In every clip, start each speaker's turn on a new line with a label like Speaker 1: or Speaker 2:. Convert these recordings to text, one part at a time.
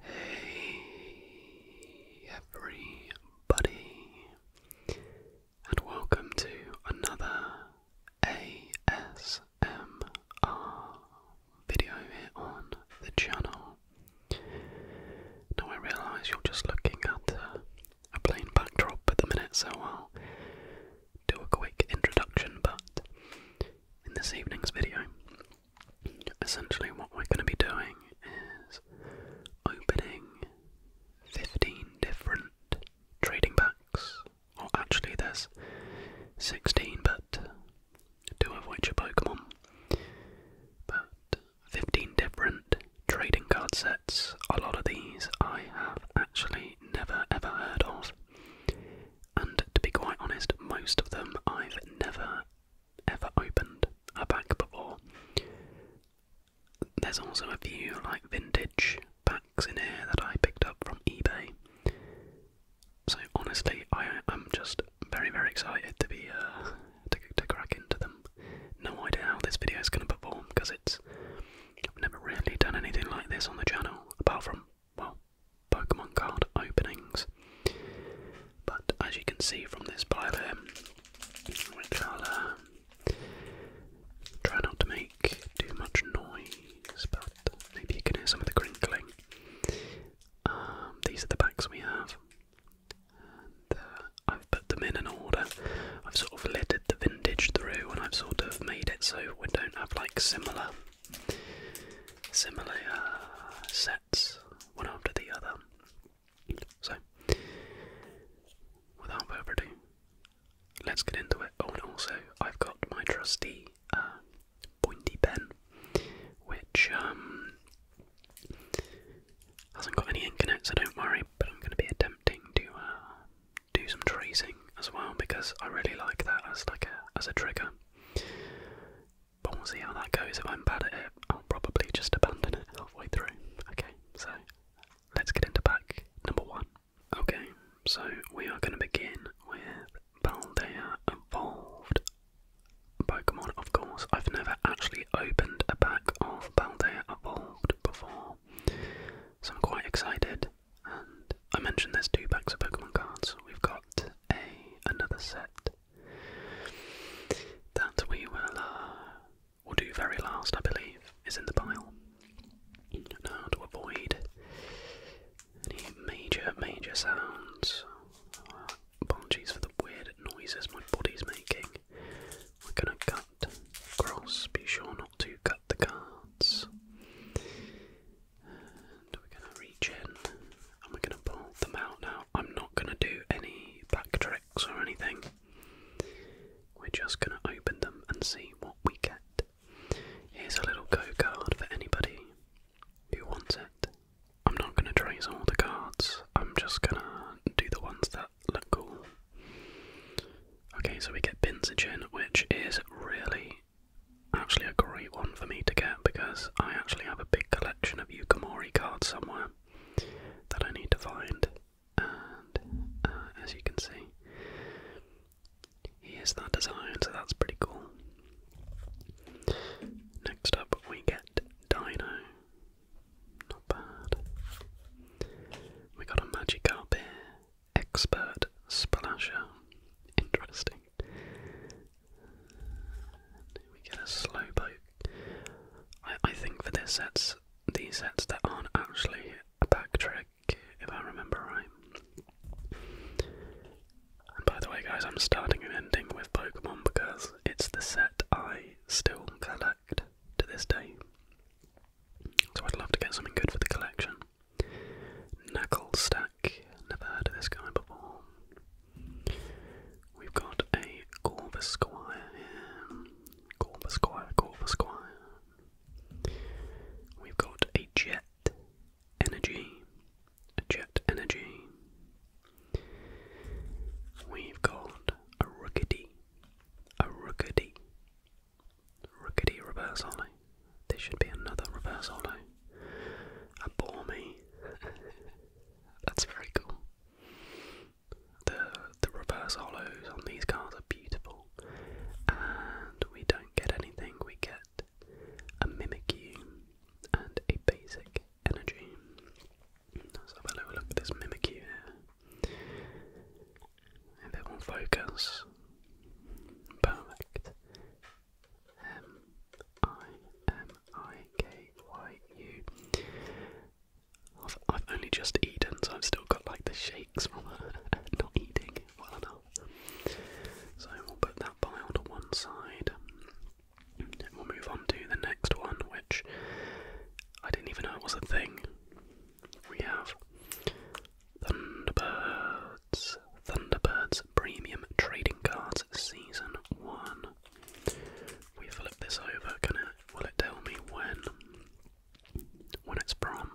Speaker 1: Hey everybody, and welcome to another ASMR video here on the channel. Now, I realise you're just looking at uh, a plain backdrop at the minute, so I'll do a quick introduction, but in this evening's video, essentially what we're going to be doing is opening 15 different trading packs or actually there's 16 but two of which are pokemon but 15 different trading card sets a lot of these i have actually never ever heard of and to be quite honest most of them i've never ever opened a pack before. There's also a few like vintage packs in here that I picked up from eBay. So honestly, I am just very very excited to be uh, to to crack into them. No idea how this video is going to perform because it's I've never really done anything like this on the channel apart from well Pokemon card openings. But as you can see from this pile here, which uh, I'll try not to make too much noise, but maybe you can hear some of the crinkling. Um, these are the packs we have, and uh, I've put them in an order. I've sort of littered the vintage through, and I've sort of made it so we don't have like similar, similar sets. Uh, one after the other. So, without further ado, let's get into it. Oh, and also, I've got my trusty uh, pointy pen, which um, hasn't got any ink in it, so don't worry, but I'm going to be attempting to uh, do some tracing as well because I really like that as like a as a trigger but we'll see how that goes. If I'm bad at it, I'll probably just abandon it halfway through. Okay, so let's get into pack number one. Okay, so we are going to begin with Baldea Evolved Pokemon, of course. I've never actually opened a pack of Baldea Evolved before, so I'm quite excited. And I mentioned there's two packs of Pokemon cards. We've got a another set that we will uh, will do very last, I believe, is in the pile. Now to avoid any major, major sounds. Uh, for the weird noises my body's making. We're gonna cut across. Be sure not to cut the cards. And we're gonna reach in and we're gonna pull them out now. I'm not going to do any back tricks or anything. We're just going to open them and see what we get. Here's a little go card for anybody who wants it. I'm not going to trace all the cards, I'm just going to do the ones that look cool. Okay, so we get Pinsichin, which is really actually a great one for me to get because I actually have a big collection of Yukamori cards somewhere that I need to find, and uh, as you can see, here's that design, so that's pretty cool. Next up, we get Dino. Not bad. We got a Magic here. Expert Splasher. Interesting we get a slow I, think for this sets, these sets that aren't actually a back trick, if I remember right. And by the way, guys, I'm starting and ending with Pokemon because it's the set I still collect to this day. So I'd love to get something good for the collection. Knuckle Stack, never heard of this guy before. We've got a Corvus Squire here. Corvus Squire, Corvus Squire. We've got a Jet Energy. A Jet Energy. We've got a Rookity. A Rookity. Rookity reverse hollow. This should be another reverse hollow. A Bormy. That's very cool. The the reverse holos on these cars are beautiful, and we don't get anything. We get a Mimikyu and a basic energy. Let's have a little look at this Mimikyu here. If it will focus, perfect. Um, M-I-K-Y-U. I've, I've only just eaten, so I've still got like the shakes from uh, not eating well enough. So we'll put that pile to one side. And we'll move on to the next one, which I didn't even know it was a thing. We have Thunderbirds, Thunderbirds Premium Trading Cards Season 1 we flip this over, can it will it tell me when when it's prom?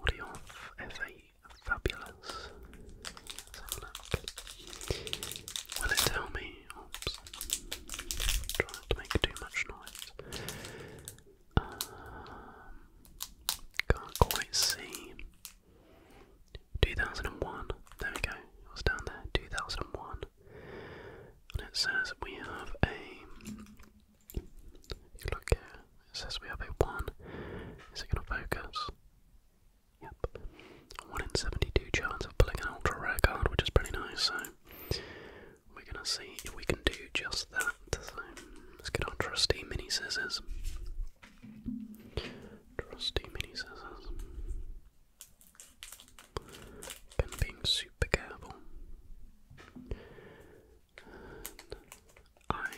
Speaker 1: Audio F8 fabulous. Will it tell me oops to make too much noise. Um, can't quite see. 2001. There we go. It was down there. 2001. And it says we have a. You look here. It says we have a 1. Is it going to focus? Yep. 1 in 72 chance of pulling an ultra rare card, which is pretty nice. So we're going to see if we can do just that. So let's get our trusty mini scissors. Trusty mini scissors. I'm being super careful. I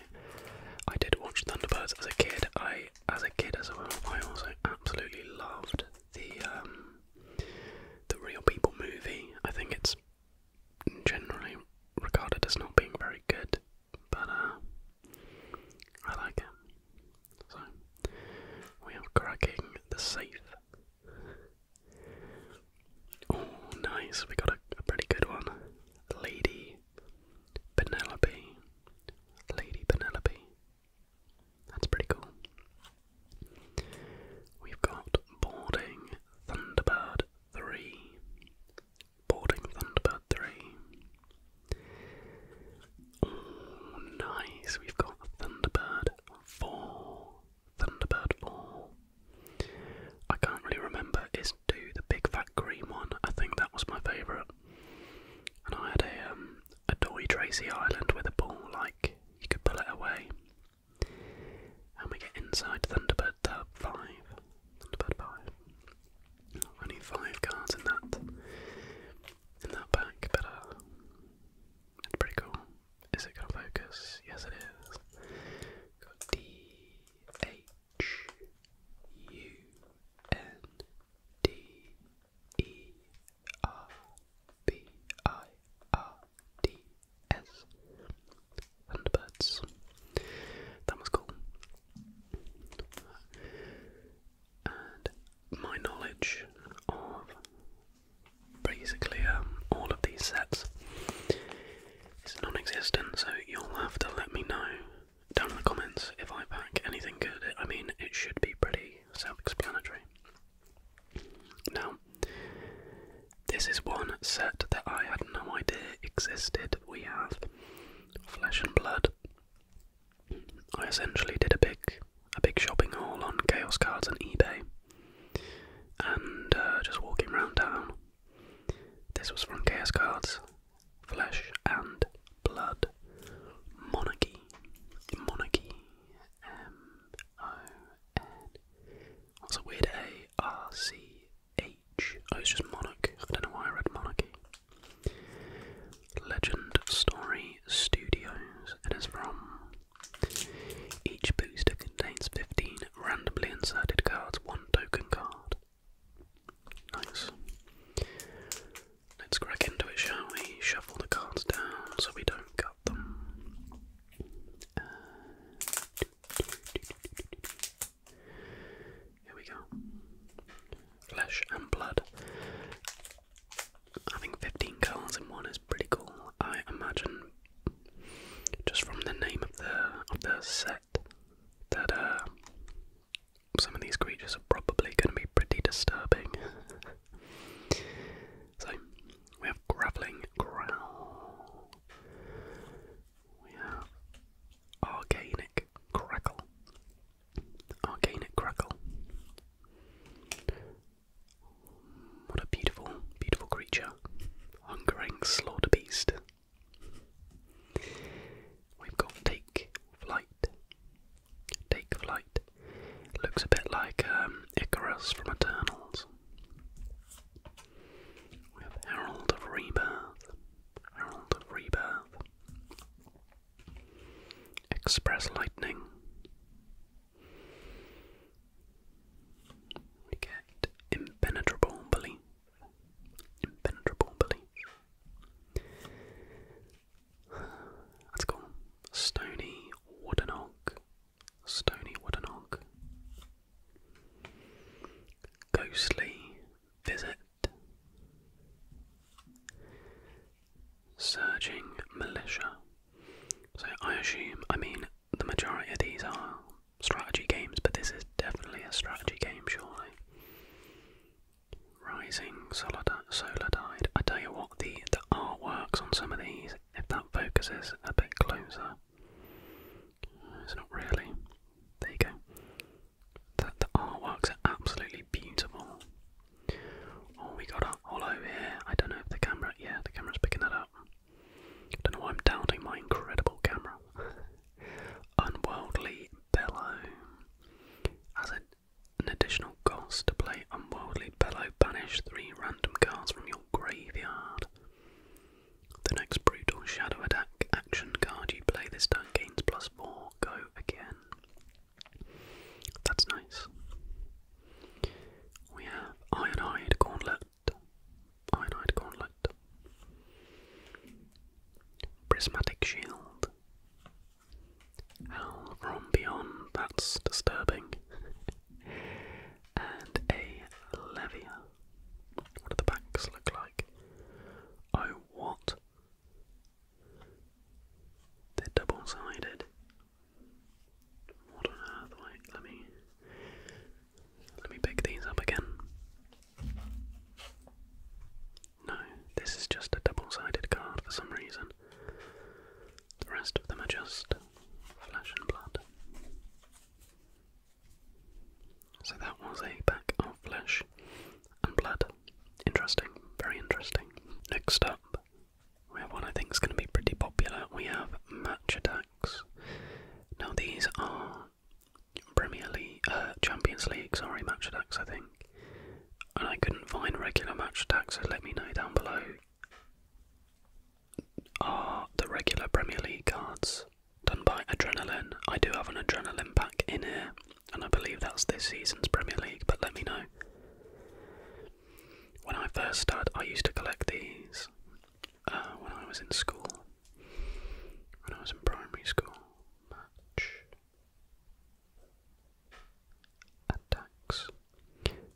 Speaker 1: I did watch Thunderbirds as a kid. I as a kid as well. I also absolutely loved the um, the Real People movie. I think it's generally regarded as not being very good, but uh, I like it. So, we are cracking the safe. Oh, nice. We got a, pretty good one. Lady Penelope. Lady Penelope. That's pretty cool. We've got Boarding Thunderbird 3. Boarding Thunderbird 3. Oh, nice. We've got Thunderbird 4. Thunderbird 4. I can't really remember. Is do the big fat green one? I think that was my favourite. And I had a, um, a Dory Tracy Island with a ball, like, you could pull it away. And we get inside Thunderbird 5. Thunderbird 5. Only 5 cards in that in that back better. Uh, it's pretty cool. Is it gonna focus? Yes it is. Got D H U N D E R B I R D S Thunderbirds. That was cool and my knowledge of basically um, all of these sets is non-existent. So you'll have to let me know down in the comments if I pack anything good. I mean, it should be pretty self-explanatory. Now, this is one set that I had no idea existed. We have Flesh and Blood. I essentially did a big a big shopping haul on Chaos Cards and eBay, and uh, just walking around town. This was from Chaos Cards, Flesh and Blood, Monarchy, Monarchy, M O N. That's a weird A R C H. Oh, it's just Monarch. I don't know why I read Monarchy. Legend Story Studios. It is from. Each booster contains 15 randomly inserted cards, one token card. Nice. Let's crack into it, shall we? Shuffle the cards down so we don't cut them. here we go. Flesh and blood. I think 15 cars in one is pretty cool. I imagine just from the name of the of the set that uh, some of these creatures are probably going to be pretty disturbing. so we have graveling growl. We have organic crackle. Arcane Crackle. What a beautiful, beautiful creature. Hungering Slaughter Beast. We've got Take Flight. Take Flight. Looks a bit like um, Icarus from Eternals. We have Herald of Rebirth. Herald of Rebirth. Express Lightning. We get impenetrable belief. Impenetrable belief. Let's go. Stony wooden Stony wooden Ghostly visit. Surging militia. So I assume, I mean, the majority of these are strategy games, but this is definitely a strategy game, surely. Rising Solidide. I tell you what, the, the artworks on some of these, if that focuses a bit closer, it's not really. There you go. The, the artworks are absolutely beautiful. Oh, we got a hollow here. I don't know if the camera, yeah, the camera's picking that up. Don't know why I'm doubting my incredible camera. Unworldly Bellow. As an additional cost to play Unworldly Bellow, banish three random cards from your graveyard. The next Brutal Shadow Attack action card you play this turn gains plus four. Go again.
Speaker 2: That's nice. We have iodide gauntlet.
Speaker 1: Iodide gauntlet. Prismatic shield. Hell from beyond, that's disturbing. and a levia. What do the backs look like? Oh, what? They're double sided. What on earth? Wait, let me let me pick these up again. No, this is just a double sided card for some reason. The rest of them are just flesh and blood. So that was a pack of flesh and blood. Interesting, very interesting. Next up we have one I think is going to be pretty popular. We have match attacks. Now these are Premier League, uh, Champions League, sorry, match attacks I think. And I couldn't find regular match attacks, so let me know down below. Are the regular Premier League cards done by Adrenaline? I do have an Adrenaline pack in here, and I believe that's this season's Premier League, but let me know. When I first started, I used to collect these uh, when I was in school, when I was in primary school. Match attacks.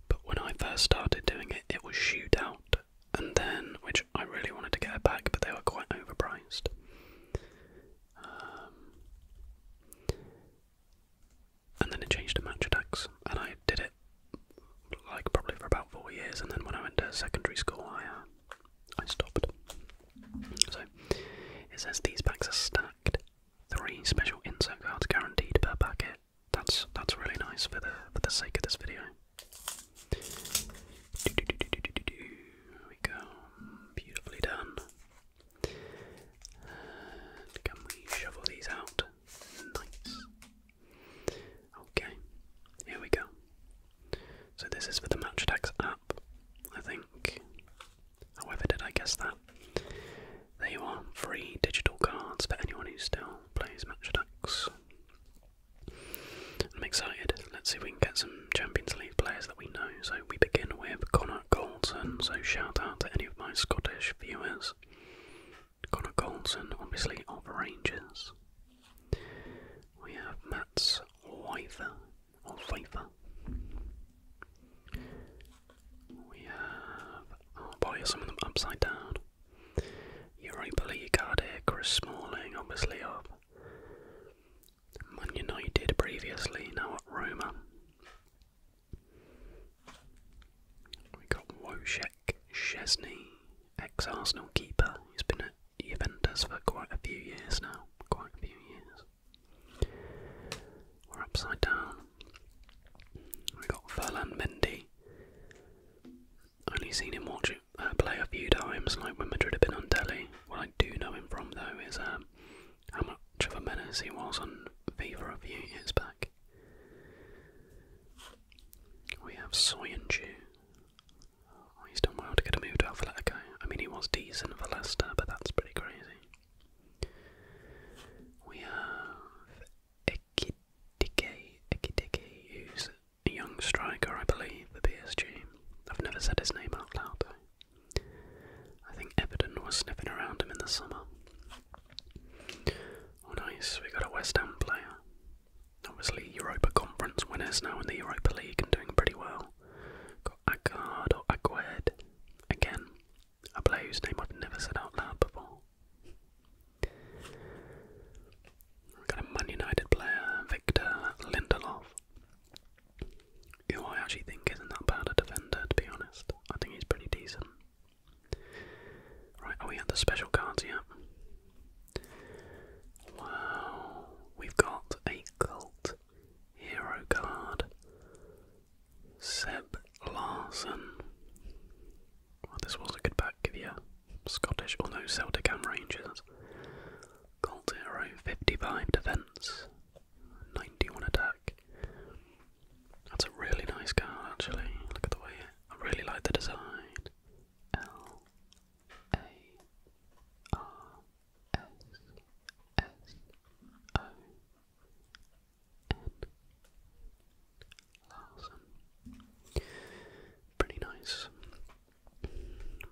Speaker 1: But when I first started doing it, it was shootout, and then, which I really wanted to get back, but they were quite overpriced. Um, and then it changed to match attacks, and I did it like probably for about four years, and then when I went to secondary school, I uh, I stopped. So it says these packs are stacked, three special insert cards guaranteed per packet. That's that's really nice for the for the sake of this video. we go, beautifully done can we shovel these out? Nice. Okay, here we go. So this is for the match attacks app, I think. However did I guess that? There you are, free digital cards for anyone who still plays match attacks. I'm excited. Let's see if we can get some Champions League players that we know. So we begin with Connor Goldson. So shout out to any of my Scottish viewers. Connor Goldson, obviously, of Rangers. We have Mats Weifer, or Pfeiffer. We have, oh boy, some of them upside down. Europa League Ardic, Chris Smalling, obviously, of Man United previously, now at Roma. We got Wojciech Szczesny, ex Arsenal keeper. He's been at Juventus for quite a few years now. Quite a few years. We're upside down. We got Ferland Mendy. Only seen him watch uh, play a few times, like when Madrid had been on Delhi. What I do know him from though is um, how much of a menace he was on FIFA a few years back. We have Soyuncu. Oh, he's done well to get a move to Atletico. I mean, he was decent for Leicester, but that's pretty crazy. We have Ekitike, Ekitike, who's a young striker, I believe, for PSG. I've never said his name out loud, though. I think Everton was sniffing around him in the summer. Oh, nice. We got a West Ham player. Obviously, Europa Conference winners now in the Europa League and doing pretty well. Got Agard or Agued. Again, a player whose name I've never said out loud before. We got a Man United player, Victor Lindelof, who I actually think isn't that bad a defender, to be honest. I think he's pretty decent. Right, oh we got the special cards, yeah. Wow, we've got a cult hero card. Seb Larson. Well, this was a good pack of your Scottish or no Celtic and Rangers. Cult hero, 55 defense, 91 attack. That's a really nice card, actually. Look at the way I really like the design. L A R S S O N Pretty nice.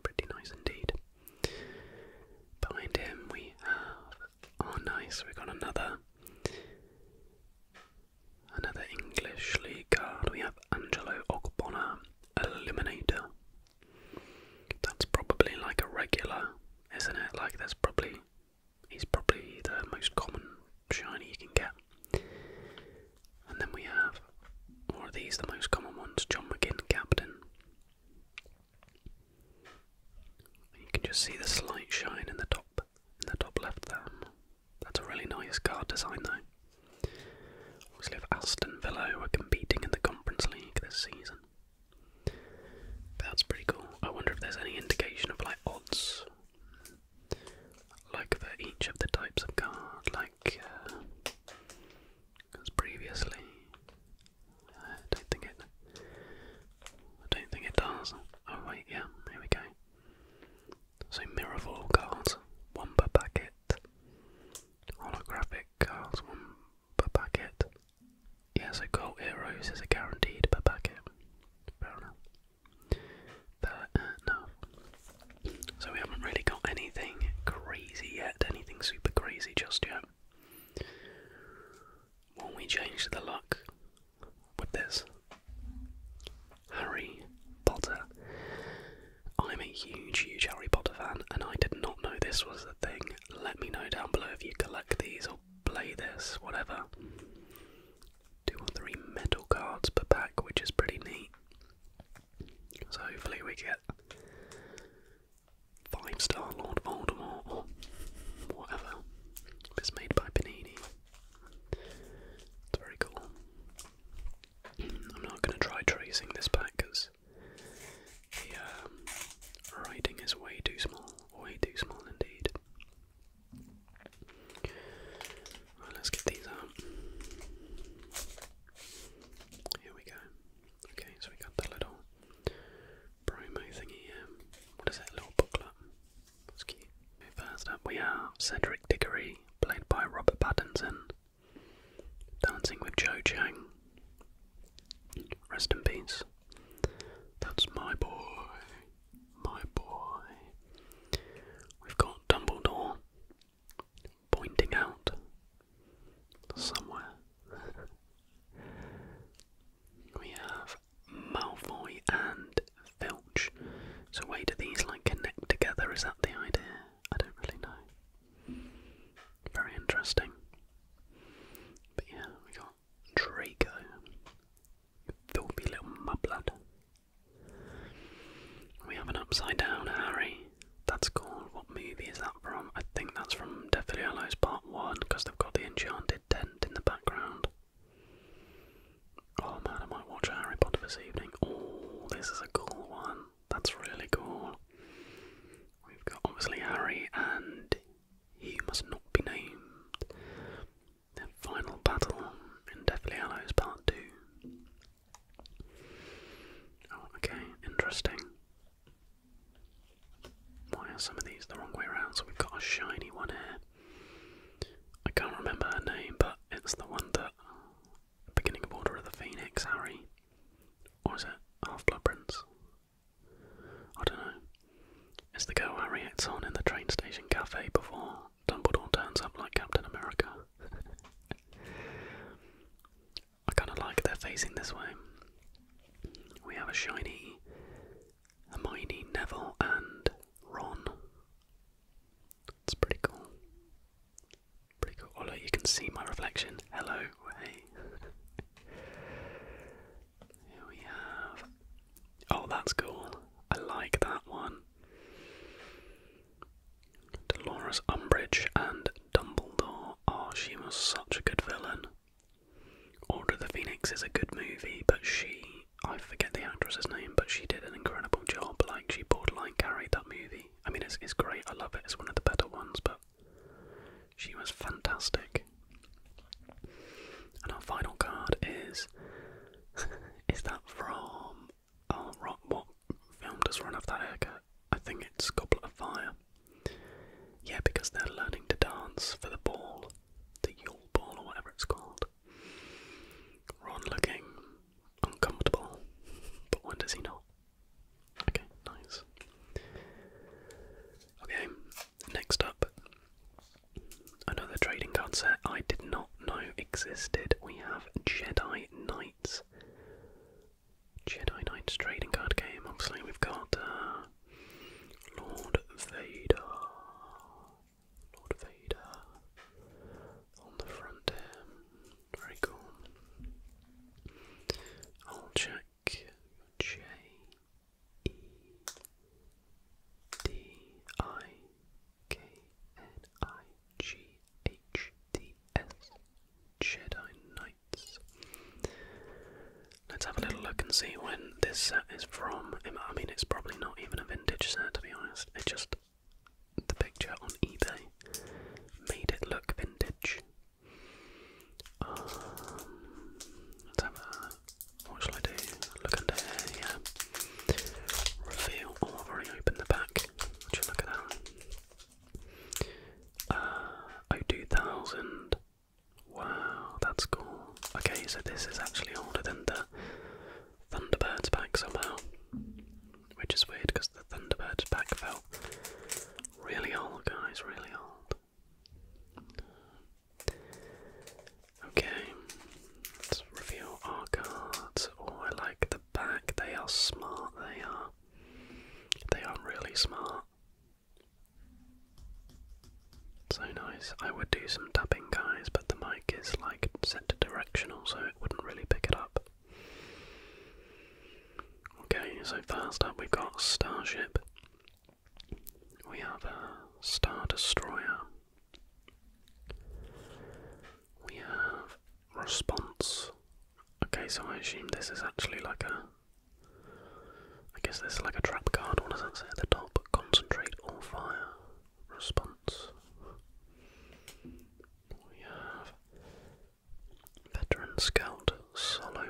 Speaker 1: Pretty nice indeed. Behind him we have Oh, nice. We have got another another English league card. We have Angelo Ogbonna Eliminator. That's probably like a regular, isn't it? Like that's probably he's probably the most common shiny you can get. And then we have, or are these the most common ones? John McGinn, captain. You can just see the slight shine in the top in the top left there. That's a really nice card design though. Obviously if Aston Villa who are competing in the Conference League this season. That's pretty cool. I wonder if there's any indication of like odds. Like for each of the types of card, like uh, previously. I don't think it I don't think it does. Oh wait, yeah, here we go. So Miraval cards, one per packet. Holographic cards, one per packet. Yeah, so Gold Heroes is a guaranteed per packet. Fair enough. Fair enough. So we haven't really got anything crazy yet, anything super crazy just yet. When we change the luck, with this. Harry Potter. I'm a huge, huge Harry Potter fan, and I did not know this was a thing. Let me know down below if you collect these or play this, whatever. Two or three metal cards per pack, which is pretty neat. So hopefully we get five star Lord Voldemort whatever. It's made by Panini. It's very cool. I'm not going to try tracing this back because the uh, writing is way too small, way too small indeed.
Speaker 2: let's get these out. Here we go. Okay, so we got the little
Speaker 1: promo thingy What is that little booklet? That's First up, we have Cedric Diggory, played by Robert Pattinson, dancing with Cho Chang. Rest in peace. That's my boy, my boy. We've got Dumbledore pointing out somewhere. We have Malfoy and Filch. So way do these like connect together? Is that the idea? I don't really know. Very interesting. But yeah, we got Draco. Filthy little mudblood. We have an upside down Harry. That's called, what movie is that from? I think that's from Deathly Hallows Part 1 because they've got the enchanted tent in the background. Oh man, I might watch Harry Potter this evening. Oh, this is a cool one. That's really cool. We've got obviously Harry and He Must Not Be Named. final battle in Deathly Hallows Part 2. Oh, okay, interesting. Why are some of these the wrong way around? So we've got a shiny one here. I can't remember her name, but it's the one that beginning of Order of the Phoenix, Harry. Or is it Half Blood Prince? I don't know. It's the girl Harry hits on in the train station cafe before Dumbledore turns up like Captain America. I kinda like they're facing this way. We have a shiny Hermione, Neville, and Ron. It's pretty cool. Pretty cool. Oh, you can see my reflection. Hello, hey. Here we have. Oh, that's cool. I like that one. Dolores Umbridge and Dumbledore. Oh, she was such a good villain. Order the Phoenix is a good movie, but she I forget the actress's name, but she did an incredible job. Like she borderline carried that movie. I mean, it's great. I love it. It's one of the better ones, but she was fantastic. And our final card is is that from oh, rock, what film does Run Off That Haircut? I think it's Goblet of Fire. Yeah, because they're learning to dance for the ball, the Yule Ball or whatever it's called. Ron looking uncomfortable, but when does he not? Okay, nice. Okay, next up, another trading card set I did not know existed. We have Jedi Knights. Jedi Knights trading card game. Obviously, we've got uh, Lord Vader. Lord Vader on the frontier. Very cool. I'll check J E D I K N Jedi Knights. Let's have a little look and see when this set is from. I mean, it's probably not even a vintage set to be honest. It just the picture on eBay made it look vintage. Um, let's have a. What shall I do? Look under here. Yeah. Reveal. Oh, I've already opened the back. Would look at that? Uh, 2000. Wow, that's cool. Okay, so this is actually older than the Thunderbird's back somehow. Which is weird because the Thunderbird's back felt really old, guys, really old. Okay, let's reveal our cards. Oh, I like the back. They are smart, they are. They are really smart.
Speaker 2: So nice. I would do some tapping, guys, but the mic is like set to directional, so it wouldn't really
Speaker 1: pick it up. Okay, so first up we've got Starship. We have a Star Destroyer. We have Response. Okay, so I assume this is actually like a. I guess this is like a trap card. What does that say at the top? Concentrate or fire response. We have veteran scout Solo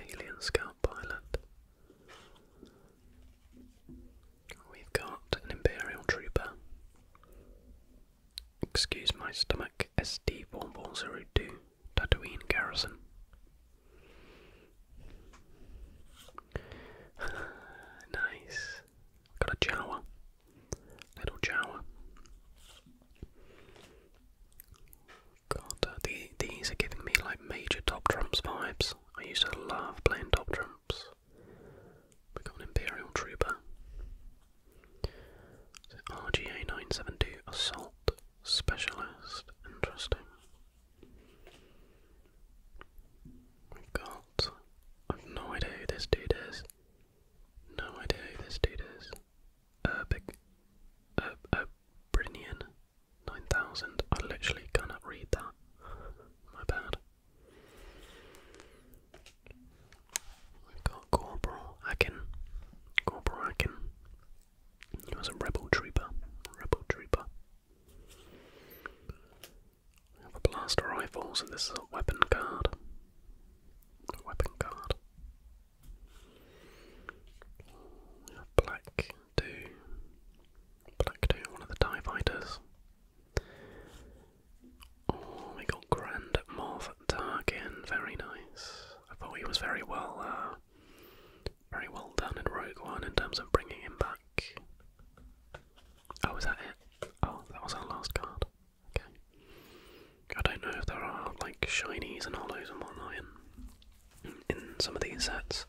Speaker 1: alien scout pilot. We've got an imperial trooper. Excuse my stomach, SD4402, Tatooine Garrison. nice. Got a Jawa. Little Jawa. God, uh, these are giving me like major Top drums vibes. I used to love playing Top drums. We an Imperial Trooper. RGA 972 Assault Specialist. Interesting. We got. I've no idea who this dude is. No idea who this dude is. Urbic. Uh, uh, Brinian. 9000. I literally cannot read that. My bad. we got Corporal Akin. Corporal Akin. He was a rebel trooper. Rebel trooper. We have a blaster rifle, so this is a weapon card. weapon card. We have black two. Black two, one of the TIE fighters. Oh, we got Grand Moff Tarkin, very nice. I thought he was very well uh, very well done in Rogue One in terms of bringing him back. Oh, is that it? Oh, that was our last card. Okay. I don't know if there are like shinies and hollows and whatnot in, in some of these sets.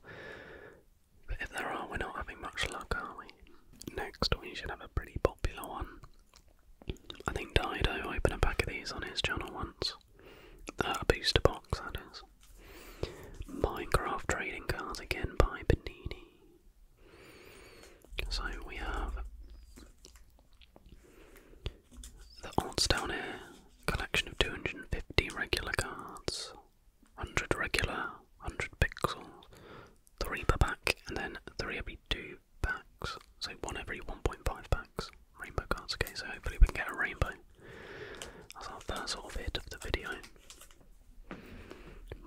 Speaker 1: But if there are, we're not having much luck, are we? Next, we should have a pretty popular one. I think Dido opened a pack of these on his channel once. Uh, a booster box, that is. Minecraft trading cards again by Benini. So we have the odds down here, collection of 250 regular cards, 100 regular, 100 pixels, 3 per pack, and then 3 every 2 packs. So 1 every 1.5 packs. Rainbow cards, okay, so hopefully we can get a rainbow. That's our first sort of hit of the video.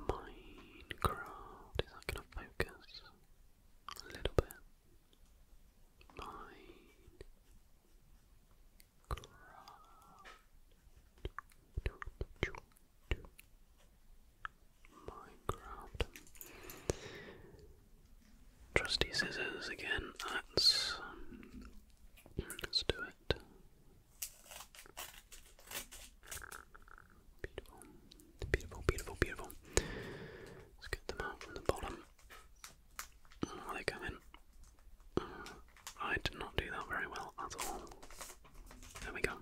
Speaker 1: Minecraft, is that going to focus? A little bit. Minecraft. Trusty scissors again. That's. Um, let's do that. Beautiful, beautiful, beautiful, beautiful. Let's get them out from the bottom. Oh, they come in. Uh, I did not do that very well at all. There we go.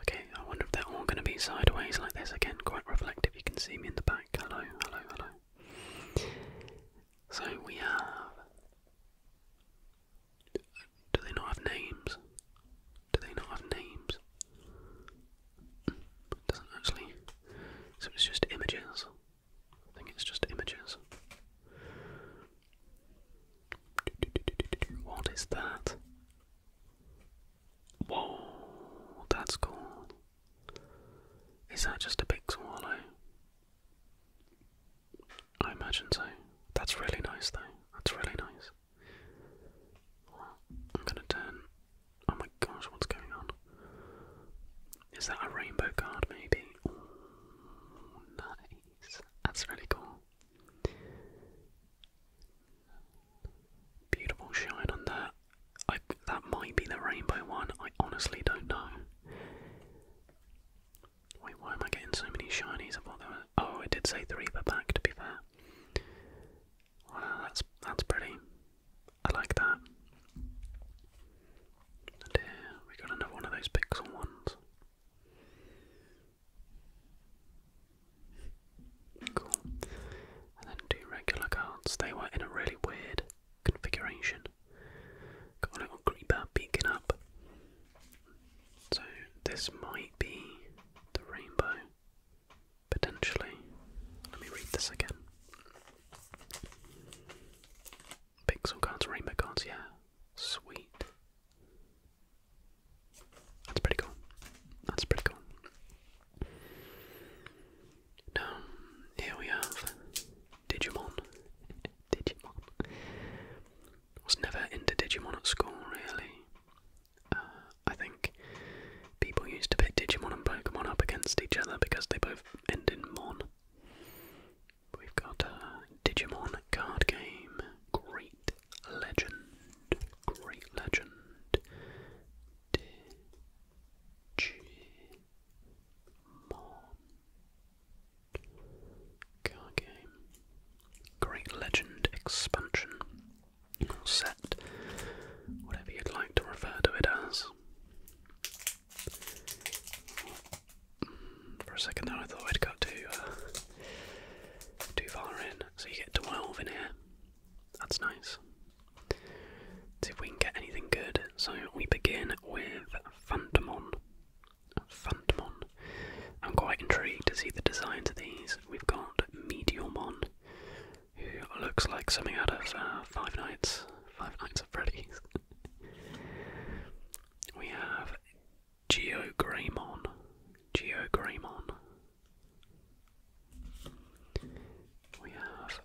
Speaker 1: Okay, I wonder if they're all going to be sideways like this again. Quite reflective. You can see me in the back. Hello, hello, hello. So we have do they not have names? Do they not have names? doesn't actually. So it's just images. I think it's just images. What is that? Whoa, that's cool. Is that just a big swallow? I imagine so. That's really nice, though. That's really nice. I'm gonna turn. Oh my gosh, what's going on? Is that a rainbow card, maybe? nice. That's really cool. Beautiful shine on that. I, that might be the rainbow one. I honestly don't know. Wait, why am I getting so many shinies? I thought there were. Oh, it did say three per pack. To be fair, wow, that's that's pretty. I like that. And here we got another one of those pixel ones. Cool. And then two regular cards. They were in a really weird configuration. Got a little creeper peeking up. So this might be the rainbow. Potentially. Let me read this again. Pixel cards, rainbow cards, yeah. Sweet. That's pretty cool. That's pretty cool. Now, here we have Digimon. Digimon. was never into Digimon at school, really. Uh, I think people used to pit Digimon and Pokemon up against each other because they both end in mon. We've got a uh, Digimon card game. Great legend. Great legend. Card game. Great Legend expansion. set. Whatever you'd like to refer to it as. Mm, for a second there, I thought I'd got too, uh, too far in. So you get 12 in here. That's nice. see if we can get anything good. So we begin with Phantomon. Phantomon. I'm quite intrigued to see the designs of these. We've got Mediumon, who looks like something out of uh, Five
Speaker 2: Nights, Five Nights at Freddy's. we have Geograymon, Geograymon.
Speaker 1: We have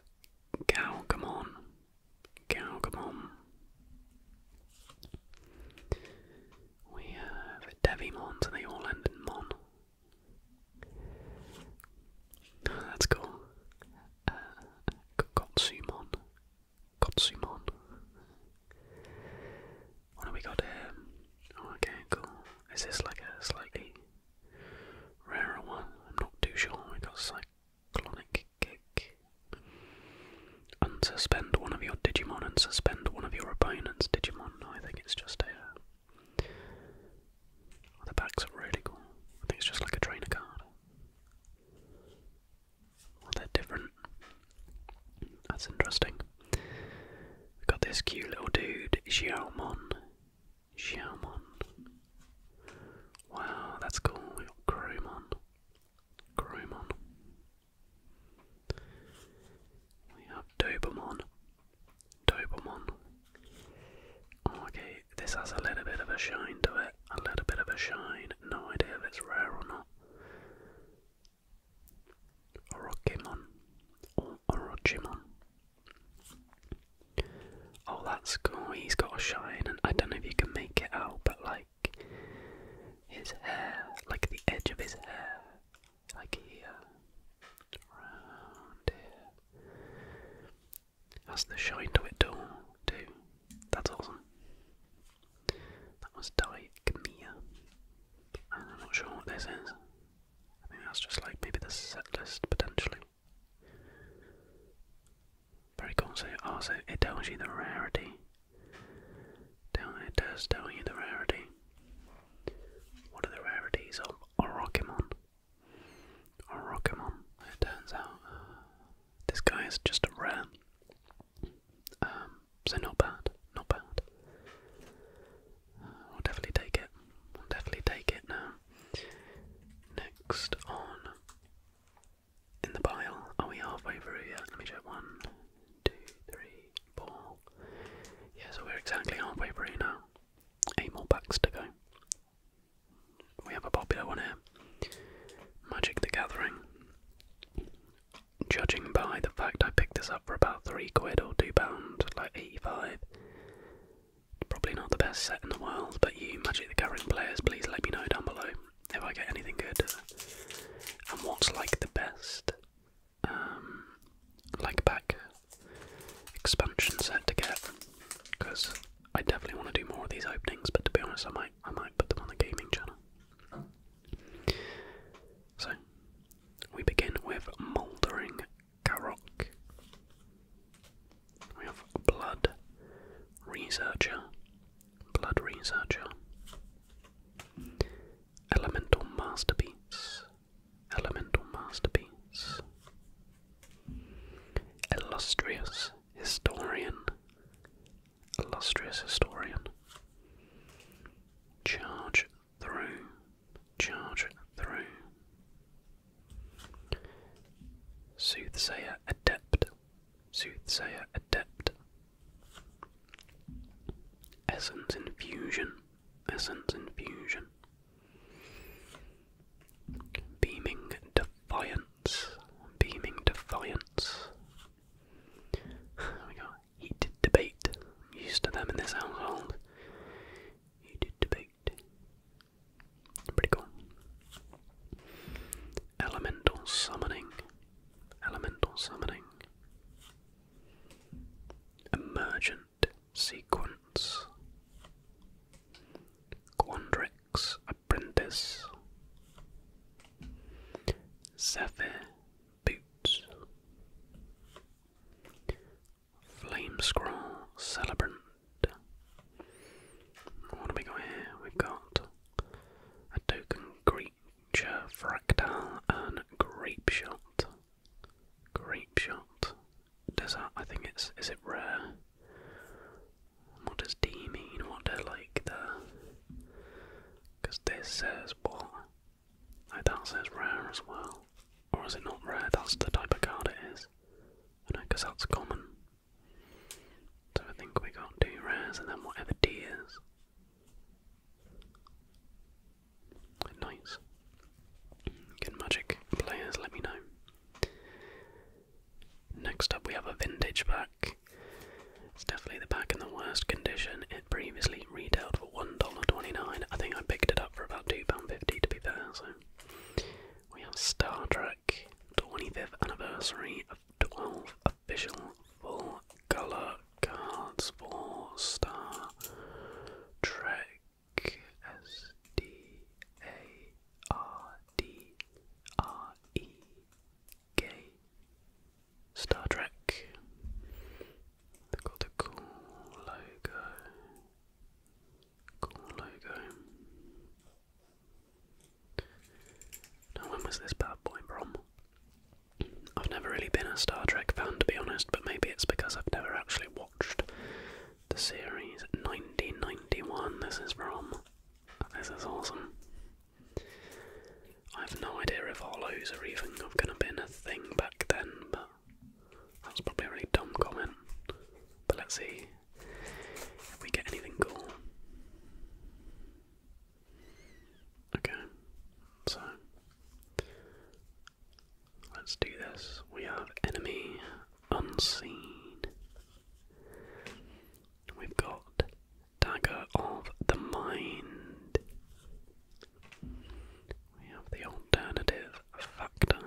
Speaker 1: Galgamon, cow, We have Devimon, so they all that's cool. Uh, Gotsumon. What have we got here? Oh, okay, cool. Is this like a slightly rarer one? I'm not too sure. We've Clonic Kick. Unsuspend one of your Digimon and suspend one of your opponent's Digimon. I think it's just a. Uh, oh, the backs are really cool. I think it's just like a trainer card. they're different. That's interesting. We've got this cute little dude, Xiaomon. Xiaomon. Wow, that's cool. We've got Cromon. Cromon. We have Dobermon. Dobermon. Okay, this has a little bit of a shine to it. A little bit of a shine. No idea if it's rare or not. Orokimon. Or Orochimon. Oh, that's cool. He's got a shine, and I don't know if you can make it out, but like his hair, like the edge of his hair, like uh, here, round here. Has the shine to it too. That's awesome. That was Diakmia. I'm not sure what this is. I think that's just like maybe the set list potentially. Very cool. Oh, so also it tells you the rarity. It does tell you the rarity. What are the rarities of Orokimon? Orokimon. It turns out this guy is just a rare. Um, so not bad, not bad. Uh, will definitely take it. We'll definitely take it now. Next on in the pile. Are we halfway through yet? Let me check. One, two, three, four. Yeah, so we're exactly halfway through now. Eight more packs to go. We have a popular one here Magic the Gathering. Judging by the fact I picked this up for about three quid or two pounds, like 85. Probably not the best set in the world, but you Magic the Gathering players, please let me know down below if I get anything good, and what's like the best, um, like back expansion set to get, because I definitely want to do more of these openings. But to be honest, I might I might put them on the gaming channel. So we begin with mouldering Garrock. We have blood researcher. Blood Researcher, Elemental Masterpiece, Elemental Masterpiece, Illustrious Historian, Illustrious Historian, Charge Through, Charge Through, Soothsayer Adept, Soothsayer Adept. Essence Infusion. Essence Infusion. Beaming Defiance. Beaming Defiance. we got Heated Debate. used to them in this household. Heated Debate. Pretty cool. Elemental summoning. Elemental summoning. Emergent sequence. Quandrix apprentice. Zephyr boots. Flame scroll celebrant. What have we got here? We've got a token Greek Fractal, and Grape Shot. Grape Shot. Does that, I think it's, is it rare? What does D mean? What do like the. Because this says what? Oh, that says rare as well. Or is it not rare? That's the type of card it is. because that's common. So I think we got two rares and then whatever D is. Nice. Good magic players, let me know. Next up, we have a vintage pack. It's definitely the pack in the worst condition. It previously retailed for $1.29. I think I picked it up for about £2.50 to be fair, so. We have Star Trek 25th Anniversary 12 official full colour cards for Star Trek S D A
Speaker 2: R D R E K Star Trek. They've got a cool logo.
Speaker 1: Cool logo when was this bad boy from? I've never really been a Star Trek fan, to be honest, but maybe it's because I've never actually watched the series. 1991, this is from. This is awesome. I have no idea if hollows are even gonna been a thing back then, but that's probably a really dumb comment. But let's see if we get anything cool. Okay, so let's do this. We have enemy unseen. We've got dagger of the mind. We have the alternative factor.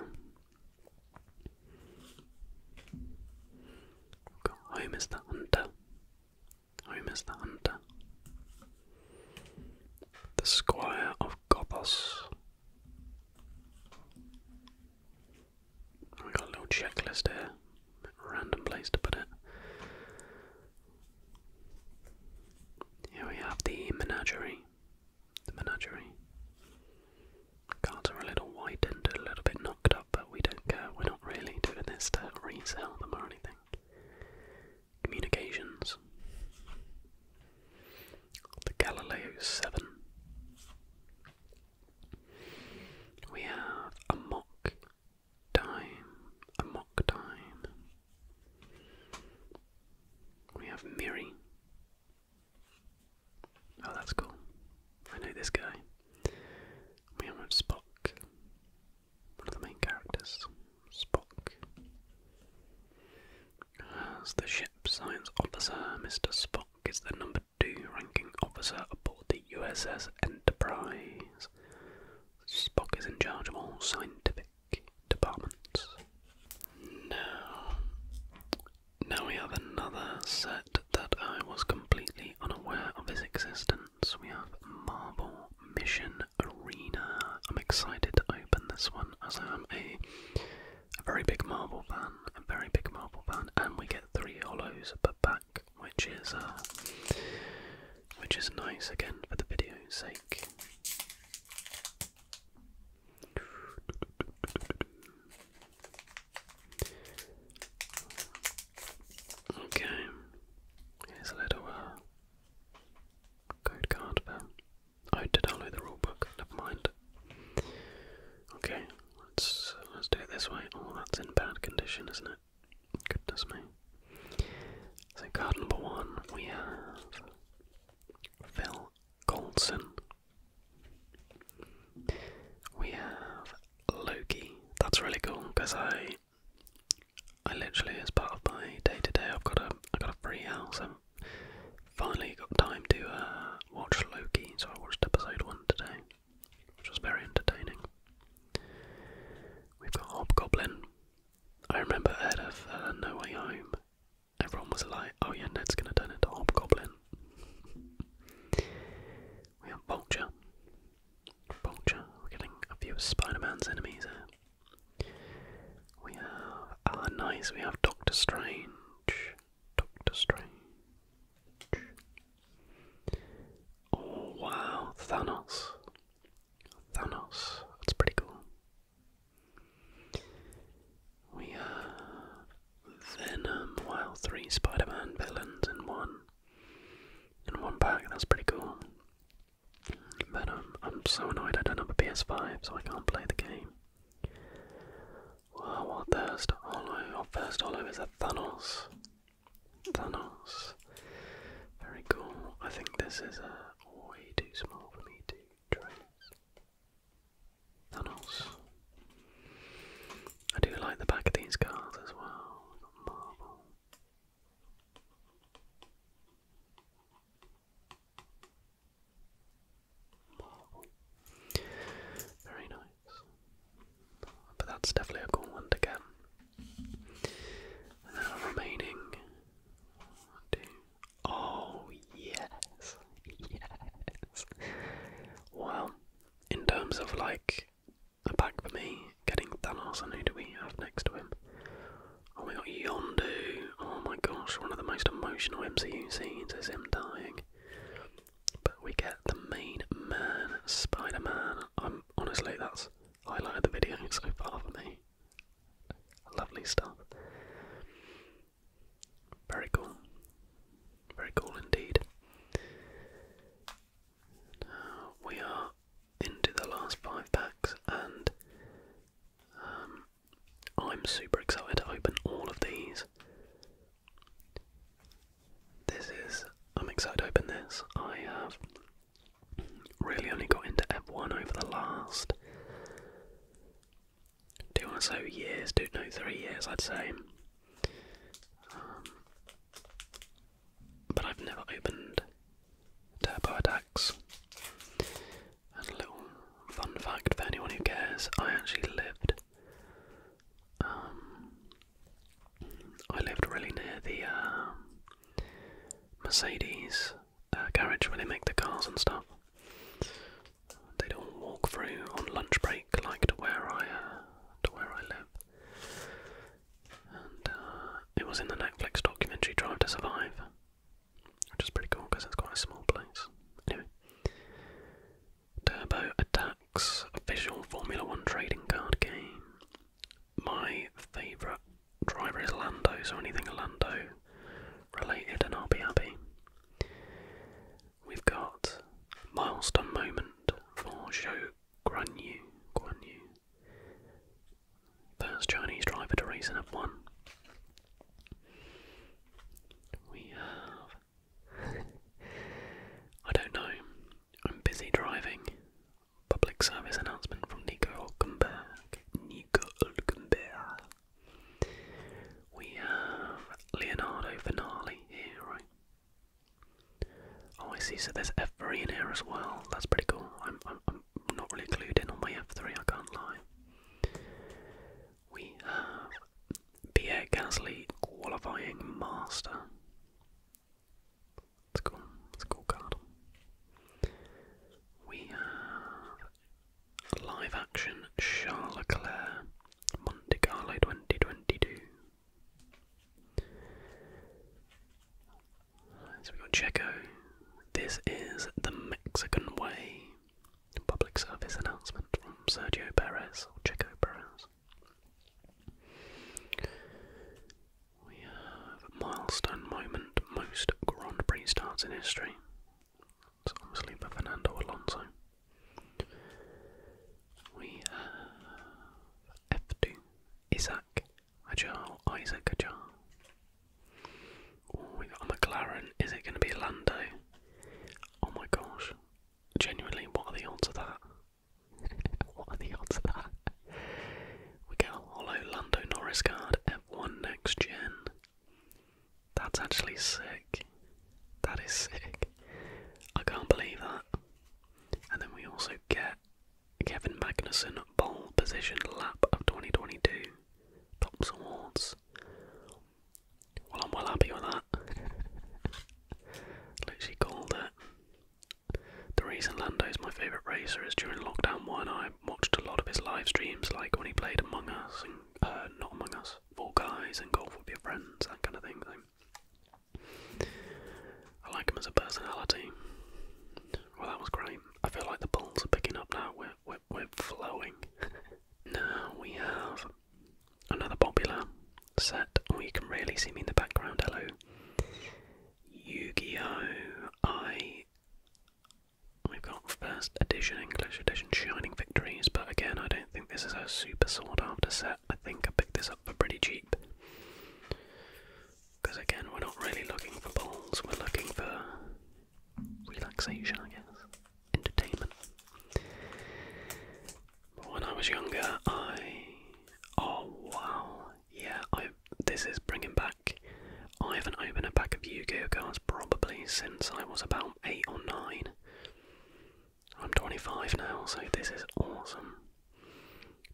Speaker 1: We've the hunter. Homer's the hunter. The squire of Gothos. We got a little checklist here. Random place to put it. Here we have the menagerie. The menagerie. Cards are a little widened, a little bit knocked up, but we don't care. We're not really doing this to resell them or anything. Communications. The Galileo 7. We have a mock time, a mock time. We have Mary. Oh, that's cool. I know this guy. We have Spock one of the main characters, Spock, as the ship's science officer, Mr. Spock is the number two ranking officer aboard the USS Enterprise. Spock is in charge of all scientific departments. Now, now we have another set that I was completely unaware of his existence. So we have Marble Mission Arena. I'm excited to open this one as I am a, a very big Marble fan, a very big Marble fan, and we get three hollows per pack, which is uh, which is nice again for the video's sake. Okay, here's a little uh, code card for. I oh, did download the rulebook. Never mind. Okay, let's uh, let's do it this way. Oh, that's in bad condition, isn't it? Goodness me. So card number one, we have Phil Goldson. We have Loki. That's really cool because I I literally, as part of my day to day, I've got a I got a free house and finally got time to uh, watch Loki. So I watched episode one today, which was very entertaining. We've got Hobgoblin. I remember out of uh, No Way Home, everyone was like, "Oh yeah, Ned's gonna turn into Hobgoblin." We have Vulture. Vulture, we're getting a few Spider-Man's enemies here. We have, ah, nice, we have Doctor Strange. Doctor Strange. Oh wow, Thanos. Thanos, that's pretty cool. We have Venom, wow, three Spider-Man villains in one. In one pack, that's pretty cool. But um, I'm so annoyed I don't have a PS5, so I can't play the game. Wow, our first hollow, our first is a Thanos. Thanos. Very cool. I think this is uh, way too small for me to trace. Thanos. I do like the back of these cards as well. we very nice. But that's definitely a cool one to get. remaining Oh yes. Yes. Well, in terms of like a pack for me, getting Thanos, and who do we have next to him? Oh, we got Yondu. Oh my gosh, one of the most emotional MCU scenes is him dying. But we get the main man, Spider Man. I'm honestly, that's highlighted the video so far for me. Lovely stuff. Very cool. Very cool indeed we are into the last five packs, and um, I'm super excited to open all of these. This is. I'm excited to open this. I have really only got into F1 over the last two or so years, two, no, three years, I'd say. Um, but I've never opened TurboAttacks. And a little fun fact for anyone who cares, I actually lived um, I lived really near the um, Mercedes uh, garage where they make the cars and stuff. They'd all walk through on lunch break, like to where I uh, to where I live. Uh, it was in the Netflix documentary Drive to Survive, which is pretty cool because it's quite a small place. Turbo Attacks official Formula One trading card game. My favourite driver is Lando, so anything Lando related, and I'll be happy. We've got milestone moment for Show Guan Yu, First Chinese driver to race in F1. We have. I don't know. I'm busy driving. Public service announcement from Nico Hulkenberg. Nico Hulkenberg. We have Leonardo Finale here, right? Oh, I see. So there's F3 in here as well. That's pretty cool. I'm not really clued in on my F3, I can't lie. We have Pierre Gasly qualifying master. It's cool. It's cool card. We have live action Charles Leclerc, Monte Carlo 2022. So we got Checo. This is the Mexican way. Public service announcement from Sergio Perez or Checo Perez. We have milestone moment, most Grand Prix starts in history. It's obviously for Fernando Alonso. We have F2, Isaac, Ajal, Isaac Ajal. we got a McLaren. Is it going to be Lando? Oh my gosh. Genuinely, what are the odds of that? what are the odds of that? We get a hollow Lando Norris card, F1 next gen. That's actually sick. That is sick. I can't believe that. And then we also get Kevin Magnussen pole position lap of 2022. Tops awards. Well, I'm well happy with that. Literally called it. The reason Lando is my favourite racer is during lockdown one, I watched a lot of his live streams, like when he played Among Us and uh, not Among Us, Fall Guys and Golf with Your Friends, that kind of thing. I like him as a personality. Well, that was great. I feel like the balls are picking up now. We're we're, we're flowing. now we have another popular set. you can really see me in the background. Hello, Yu-Gi-Oh! I. We've got first edition English edition Shining Victories, but again, I don't think this is a super sought after set. I think I picked this up for pretty cheap. Because again, we're not really looking for balls, we're looking for relaxation, I guess, entertainment. when I was younger, I. Oh wow, yeah, I. This is bringing back. I haven't opened a pack of Yu Gi Oh cards probably since I was about 8 or 9. I'm 25 now, so this is awesome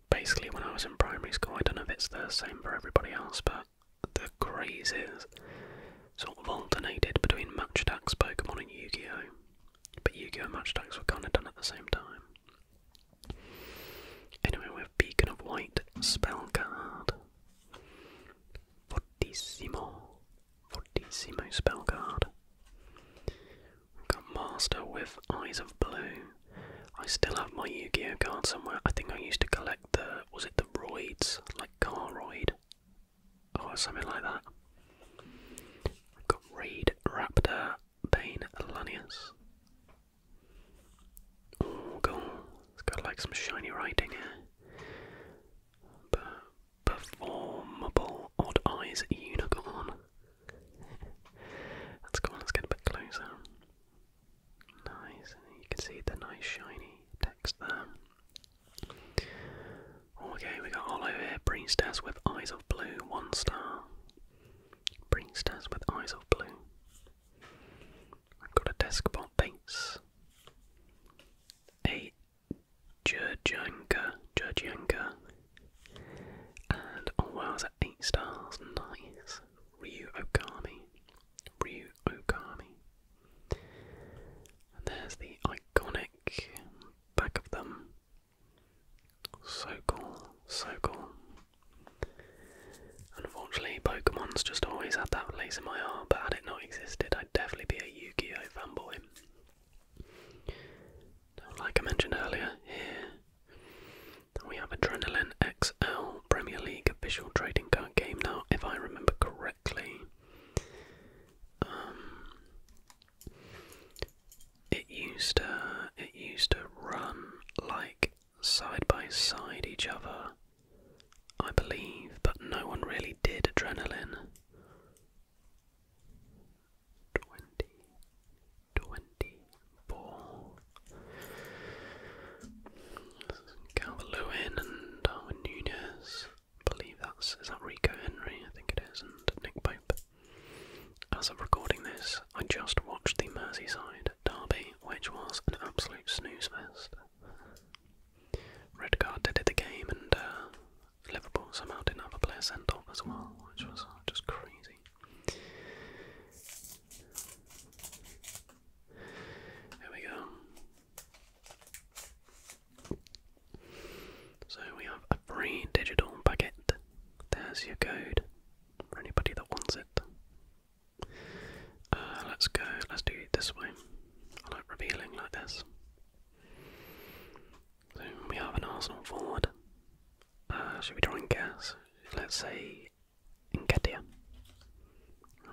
Speaker 1: basically when I was in primary school, I don't know if it's the same
Speaker 2: for everybody else, but the crazes sort of alternated between
Speaker 1: Match Attacks, Pokemon, and Yu Gi Oh! But Yu Gi Oh! and Match Attacks were kind of done at the same time. Anyway, we have Beacon of White, Spell Card. Fortissimo. Fortissimo Spell Card. We've got Master with Eyes of Blue. I still have my Yu-Gi-Oh card somewhere. I think I used to collect the was it the roids like Caroid or oh, something like that. I've got Raid, Raptor, Bane, Lanius. Oh god, it's got like some shiny writing here. performable odd eyes unicorn. That's cool, let's get a bit closer. Nice, and you can see the nice shiny text there. Oh, okay, we got Hollow here, Priestess with Eyes of Blue, one star. Priestess with Eyes of Blue. got a Deskbot base. A Jurjanka, Jurjanka. And oh wow, is that 8 stars? Nice. Ryu Okami. Ryu Okami. there's the iconic back of them. So cool, so cool. Unfortunately, Pokemon's just always had that place in my heart, but had it not existed, I'd definitely be a Yu Gi Oh fanboy. Like I mentioned earlier, here we have Adrenaline XL Premier League official trading card game now, if I remember correctly. Um, it used to it used to run like side by side each other, I believe, but no one really did adrenaline. 20, Ball. Calvert and Darwin Nunez. I believe that's is that Rico Henry, I think it is, and Nick Pope. As of recording this, I just watched the Merseyside derby, which was an absolute snooze fest. Red card did the game, and uh, Liverpool somehow didn't have a player sent off as well, which was just crazy. There we go. So we have a free digital packet. There's your code for anybody that wants it. Uh, let's go, let's do it this way. I like revealing like this. So we have an Arsenal forward. Uh, should we try and guess? Let's see. Enketia.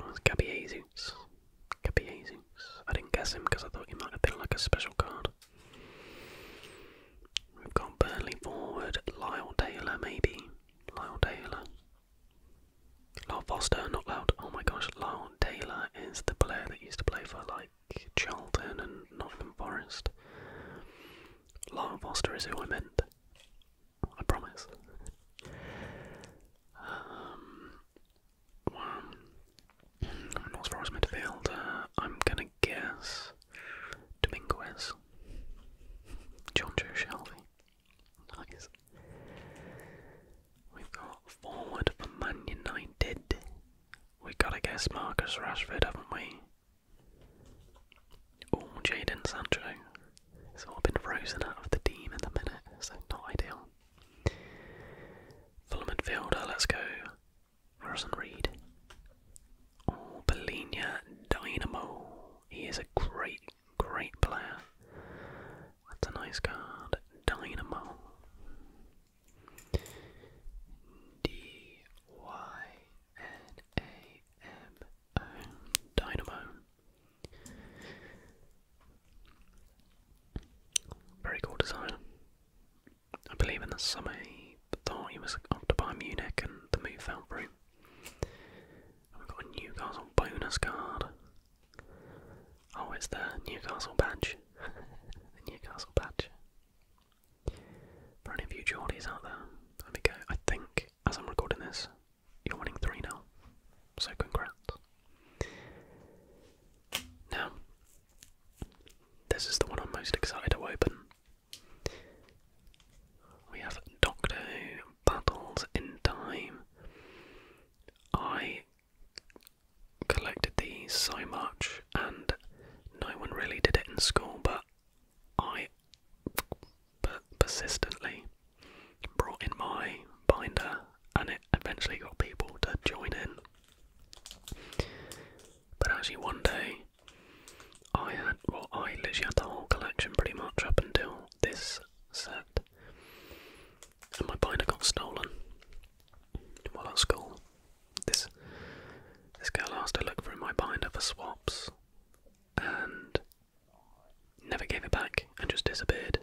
Speaker 1: Oh, it's I didn't guess him because I thought he might have been like a special card. We've got Burnley forward, Lyle Taylor maybe. Lyle Taylor. Lyle Foster, not loud. Oh my gosh, Lyle Taylor is the player that used to play for like Charlton and Nottingham Forest. Lyle Foster is who I meant. I promise. um, North Forest midfield, I'm gonna guess Dominguez, John Joe Nice. We've got forward for Man United. We gotta guess Marcus Rashford, haven't we? all Jaden Sancho It's all been frozen out of the team in the minute, so not ideal. Fulham midfielder, let's go. Harrison Reed. Oh, Bolinia Dynamo. He is a great, great player. That's a nice card. Dynamo. D Y N A M dynamo. Very cool design. I believe in the summer he thought he was off to buy Munich
Speaker 2: and the move fell through. we've got Newcastle bonus card.
Speaker 1: Oh, it's the Newcastle badge. Newcastle badge. For any of you out there, there we go. I think, as I'm recording this, you're winning 3 now, so congrats. Now, this is the one I'm most excited to open. We have Doctor Who Battles in Time. I collected these so much, and no one really did it in school, but I persistently brought in my binder and it eventually got people to join in. But actually, one day I had, well, I literally had the whole collection pretty much up until this set, and my binder got stolen while at school. This this girl asked to look through my binder for swaps, and never gave it back and just disappeared.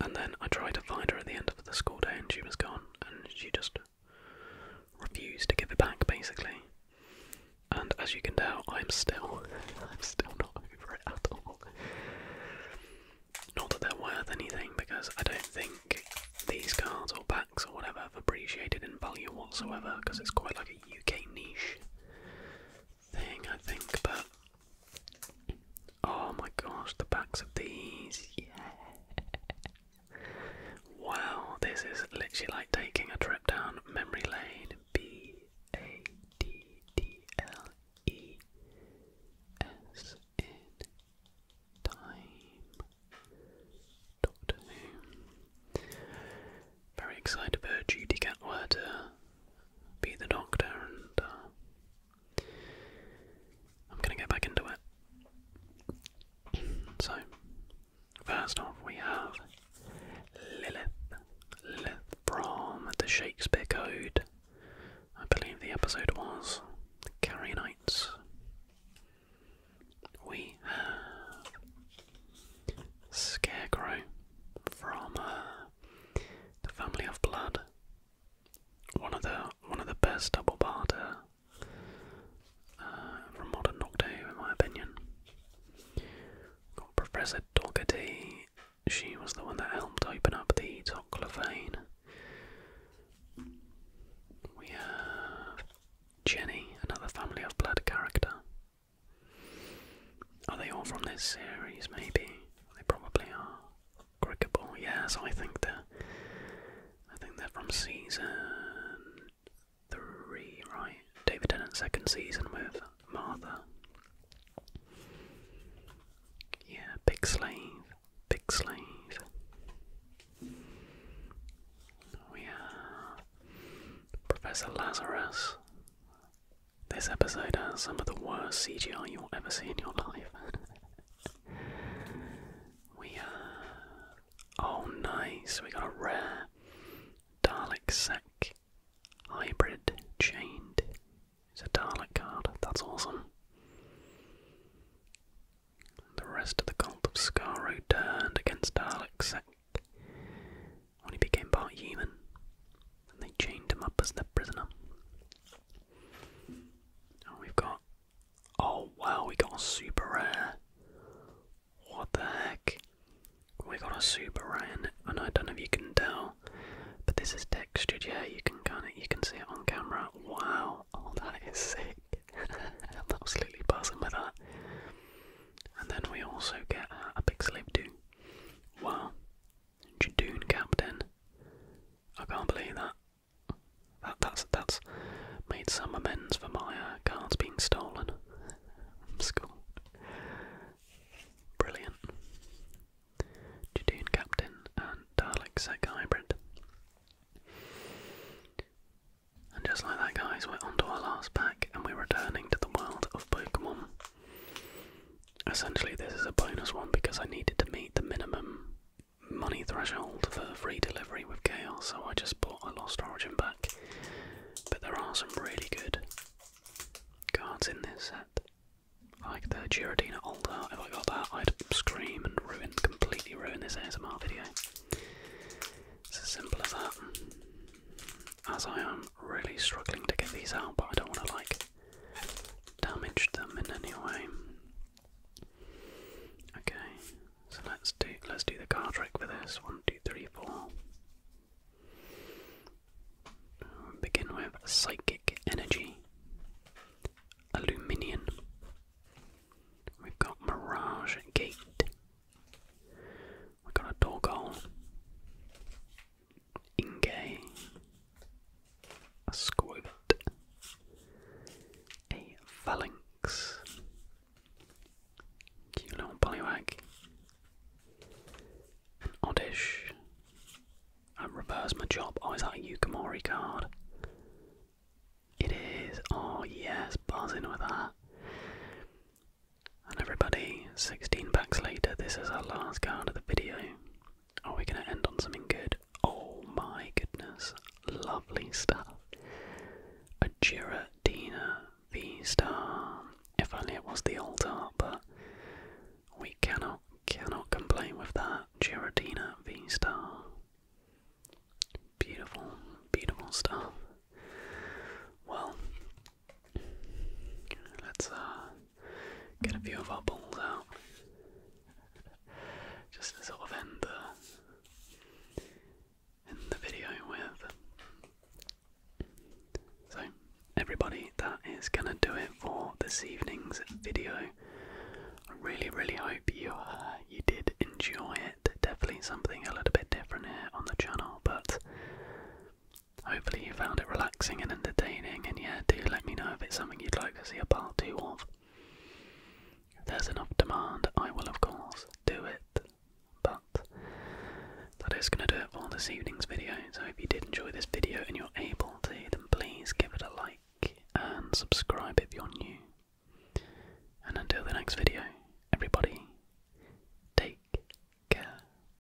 Speaker 1: And then I tried to find her at the end of the school day and she was gone and she just refused to give it back basically. And as you can tell, I'm still I'm still not over it at all. Not that they're worth anything because I don't think these cards or packs or whatever have appreciated in value whatsoever because it's quite like a UK niche thing, I think, but oh my gosh, the backs of these, yeah. Wow, this is literally like taking a trip down memory lane. B A D D L E S in time. Doctor Who very excited about Judy Catwire to be the doctor, and uh, I'm gonna get back into it. So, first off, we have Lilith. Lilith from the Shakespeare Code. I believe the episode was Carrie Nights. We have Scarecrow from uh, the Family of Blood. One of the one of the best double barter uh, uh, from modern Nocto, in my opinion. Got Professor Dougherty. She was the one that helped open up the Toclophane. We have Jenny, another Family of Blood character. Are they all from this series, maybe? They probably are. Cricket yes, I think they're I think they're from season three, right? David Tennant's second season with Martha. Yeah, big slave, big slave. We Professor Lazarus, this episode has some of the worst CGR you'll ever see in your life. we uh, Oh, nice! We got a rare Dalek Sec Hybrid Chained. It's a Dalek card. That's awesome. The rest of the Cult of Skaro turned against Dalek Sec when he became part human, and they chained him up as their prisoner. And we've got. Oh wow, we got a super rare. What the heck? We got a super rare, and I don't know if you can tell, but this is textured. Yeah, you can kind of you can see it on camera. Wow, all oh, that is sick. I'm absolutely buzzing with that. And then we also get a big slip too. Wow. Jadoon captain. I can't believe that. That that's that's made some amends for my uh, cards being stolen from school. Brilliant. Jadoon captain and Dalek Sec hybrid. And just like that guys, we're onto our last pack and we're returning to the world of Pokemon. Essentially, this is a bonus one because I needed to meet the minimum money threshold for free delivery with Chaos, so I just bought a Lost Origin back. But there are some really good cards in this set. Like the Girodina Altar, if I got that, I'd scream and ruin, completely ruin this ASMR video. It's as simple as that as I am really struggling to get these out, but I don't want to like damage them in any way. Okay, so let's do let's do the card trick for this. One, begin with psychic energy, aluminium. We've got mirage gate. We've got a dog hole. Ingay, a squid, a phalanx, cute little bullywag, oddish, I reverse my job, oh is that a Yukimori card? It is, oh yes, buzzing with that. And everybody, 16 packs later, this is our last card of the video. Are we going to end on something good? Oh my goodness, lovely stuff. A Giratina V-Star. If only it was the old art, but we cannot, cannot complain with that. Giratina V-Star. Beautiful, beautiful stuff. Well, Let's uh, get a few of our balls out. Just to sort of end the, end the video with. So, everybody, that is going to do it for this evening's video.
Speaker 2: I really, really hope you uh, you did enjoy it. Definitely something a little bit different here on the channel, but Hopefully, you found it relaxing and
Speaker 1: entertaining, and yeah, do let me know if it's something you'd like to see a part 2 of. If there's enough demand, I will, of course, do it. But that is going to do it for this evening's video. So, if you did enjoy this video and you're able to, then please give it a like and subscribe if you're new. And until the next video, everybody, take care.